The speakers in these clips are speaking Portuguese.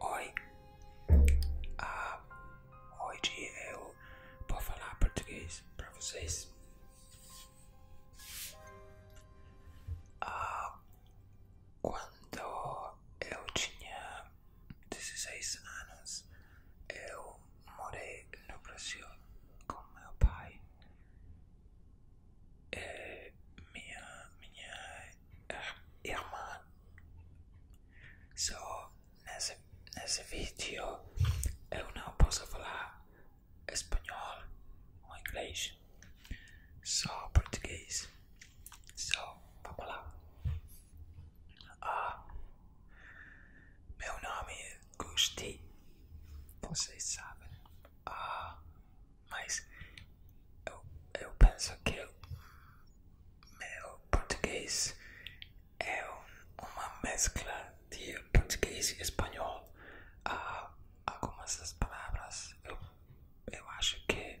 Oi. Ah, hoje eu vou falar português para vocês. Ah, quando eu tinha 16 anos, eu morei no Brasil com meu pai. E minha, minha irmã. So, nesse, nesse vídeo eu não posso falar espanhol ou inglês, só português. So, vamos lá. Ah, Meu nome é Gusti. Vocês sabem. Ah, mas eu, penso que meu português é uma mescla de português e espanhol. Ah, algumas das palavras eu, eu acho que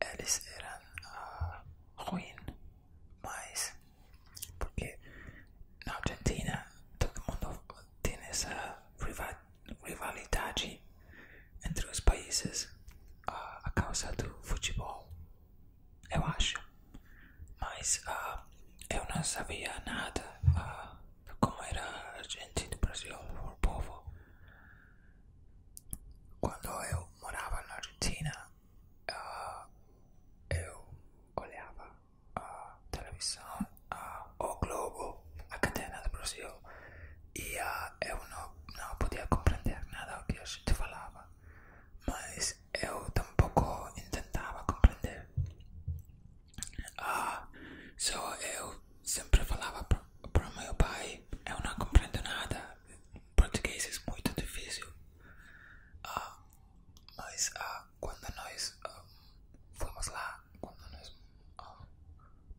eles eram ah, ruins, mas porque na Argentina todo mundo tem essa rivalidade entre os países ah, a causa do futebol, eu acho. Mas ah, eu não sabia nada uh, como era a gente do Brasil, o povo. Quando eu morava na Argentina, ah, eu olhava a televisão, uh, o Globo, a Catena do Brasil, e ah, eu não, podia compreender nada do que a falava, mas eu tampouco tentava compreender. Uh, só eu sempre falava para pro meu pai, eu não compreendo nada. Português é muito difícil. Ah, mas ah, quando nós ah, fomos lá, quando nós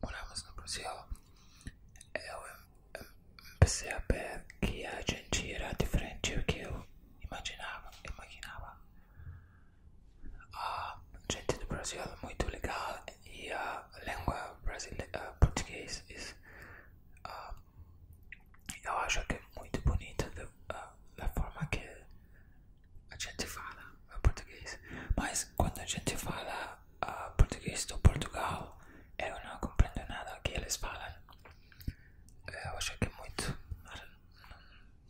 moramos no Brasil, eu comecei a ver que a gente era diferente do que eu imaginava. imaginava. A gente do Brasil é muito legal, e a língua brasileira, português, uh, um, eu acho que é muito bonita uh, da forma que a gente fala português. Mas quando a gente fala uh, português do Portugal, eu não compreendo nada que eles falam. Eu acho que é muito,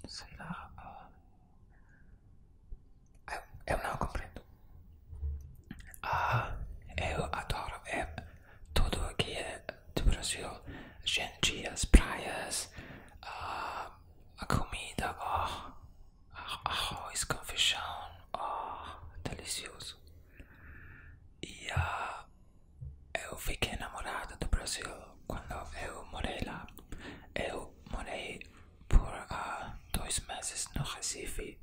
sei lá, uh, Eu, eu não compreendo. Ah, eu adoro é tudo que é do Brasil. Gente, as praias, ah, a comida, oh, arroz com feijão, oh, delicioso. E ah, eu fiquei namorada do Brasil quando eu morei lá. Eu morei por dois meses no Recife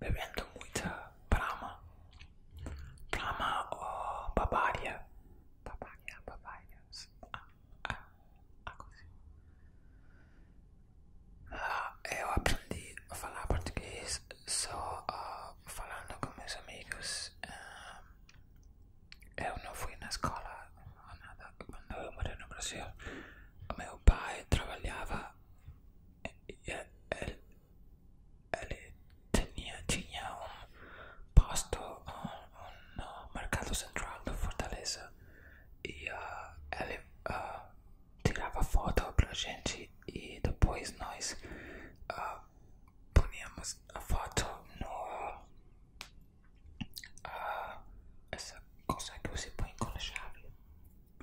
bebendo muita brama, brama ou oh, babária, babária, ah, eu aprendi a falar português só falando com meus amigos. Ah, eu não fui na escola ou nada. Quando eu morei no Brasil, meu pai trabalhava ele tinha, tinha um posto um, no mercado central da Fortaleza e ele ah, ah, tirava foto pra gente e depois nós uh, ah, punhamos a foto no essa coisa que você põe com a chave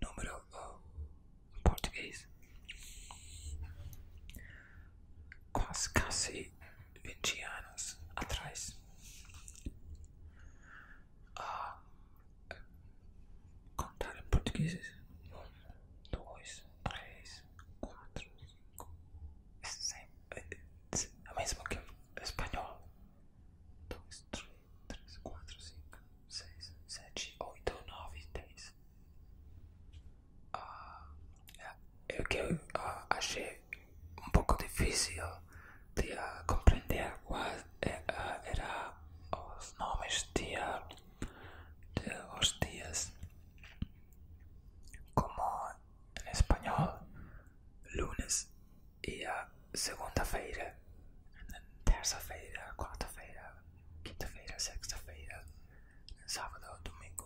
número uh, português quase quase 20 anos atrás ah, contar português um, dois, três, quatro, cinco A é mesma que espanhol dois, três 3, 4, 5, 6, 7, 8, 9, 10. Ah, é, é que eu ah, achei um pouco difícil de ah, compreender quais é, ah, eram os nomes de, ah, os dias. Como em espanhol, lunes e ah, segunda-feira, terça-feira, quarta-feira, quinta-feira, sexta-feira, sábado ou domingo.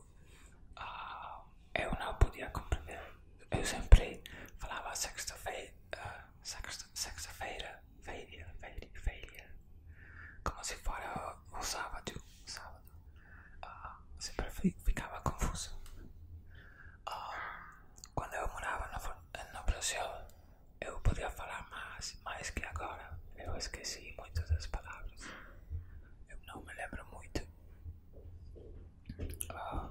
Uh, eu não podia compreender. Eu sempre falava sexta-feira, sexta-feira, feira, feira, feira. Como se fora o, o sábado. Ah, sempre ficava confuso. Ah, quando eu morava no, no Brasil, eu podia falar mais, mas que agora. Eu esqueci muitas das palavras. Eu não me lembro muito. Ah.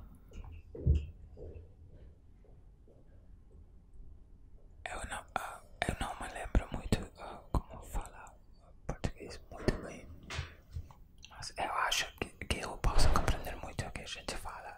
eu, não, ah, eu não me lembro muito ah, como falar português muito bem. Mas eu acho que eu posso compreender muito o que a gente fala.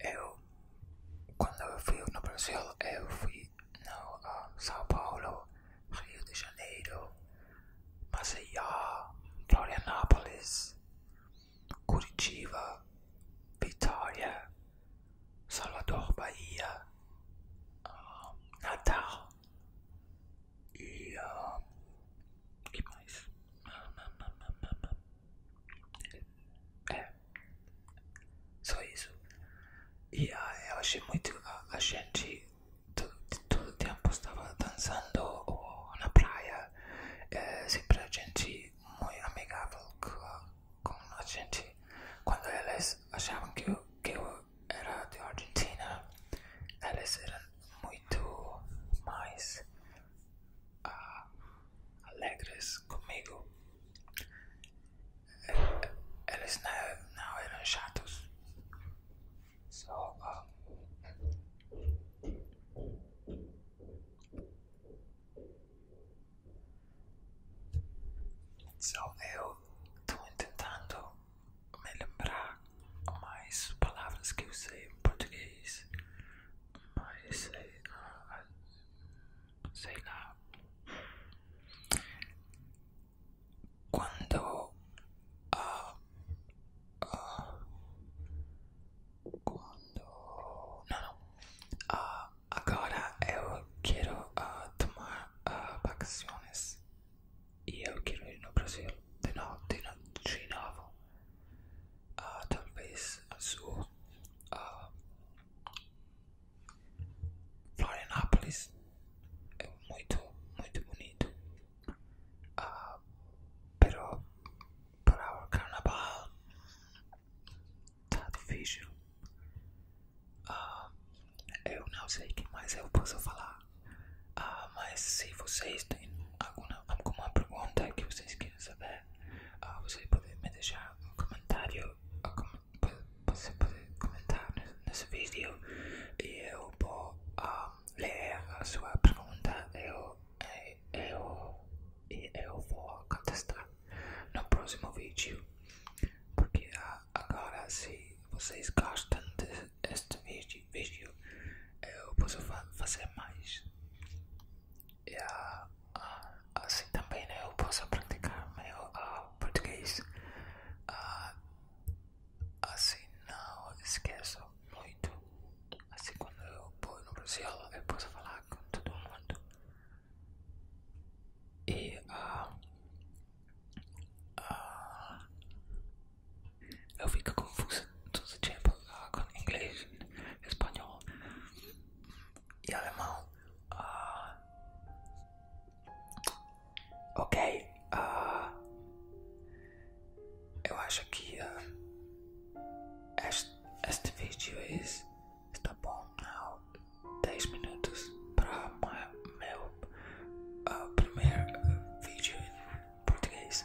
Eu, quando eu fui no Brasil, eu fui no ah, São Paulo, Rio de Janeiro, Maceió, Florianápolis, Curitiba, Vitória, Salvador, Bahia, ah, Natal e, uh, ah, e mais. É. Só isso. E ah, eu achei muito. Ah, a, gente todo, todo tempo estava dançando oh, na praia. É, sempre a gente muito amigável com a gente. Quando eles achavam que eu, que eu era de Argentina, eles eram muito mais uh, alegres conmigo. Eles eh, não, não eram chatos. So, um, eu estou tentando me lembrar mais palavras que eu sei em português mas sei, ah, ah, ah, quando uh, uh, não, Ah, uh, agora eu quero tomar ah, vacações e ir no Brasil de novo, de, no, de novo uh, talvez a sua uh, ah, Florianápolis é muito, muito bonito. Uh, pero para o carnaval tá difícil. Uh, eu não sei o que mais eu posso falar. Uh, mas se vocês têm alguma, alguma pergunta que vocês querem saber, quiser, uh, ah, você pode me deixar um comentário, ah, você pode comentar nesse vídeo e eu vou ah, ler a sua pergunta eh, e eu, eu, eu, vou contestar no próximo vídeo. Porque agora, se vocês gostam deste vídeo, eu posso fazer mais. E assim também né? eu posso praticar meu ah, português. Ah, assim não esqueço muito. Assim quando eu vou no Brasil eu posso falar com todo mundo. E ah, eu fico confusa dos o tempo com inglês, espanhol e alemão. Ah, ok, ah, eu acho que ah, este, vídeo é está bom. Dez minutos para o meu primeiro vídeo em português.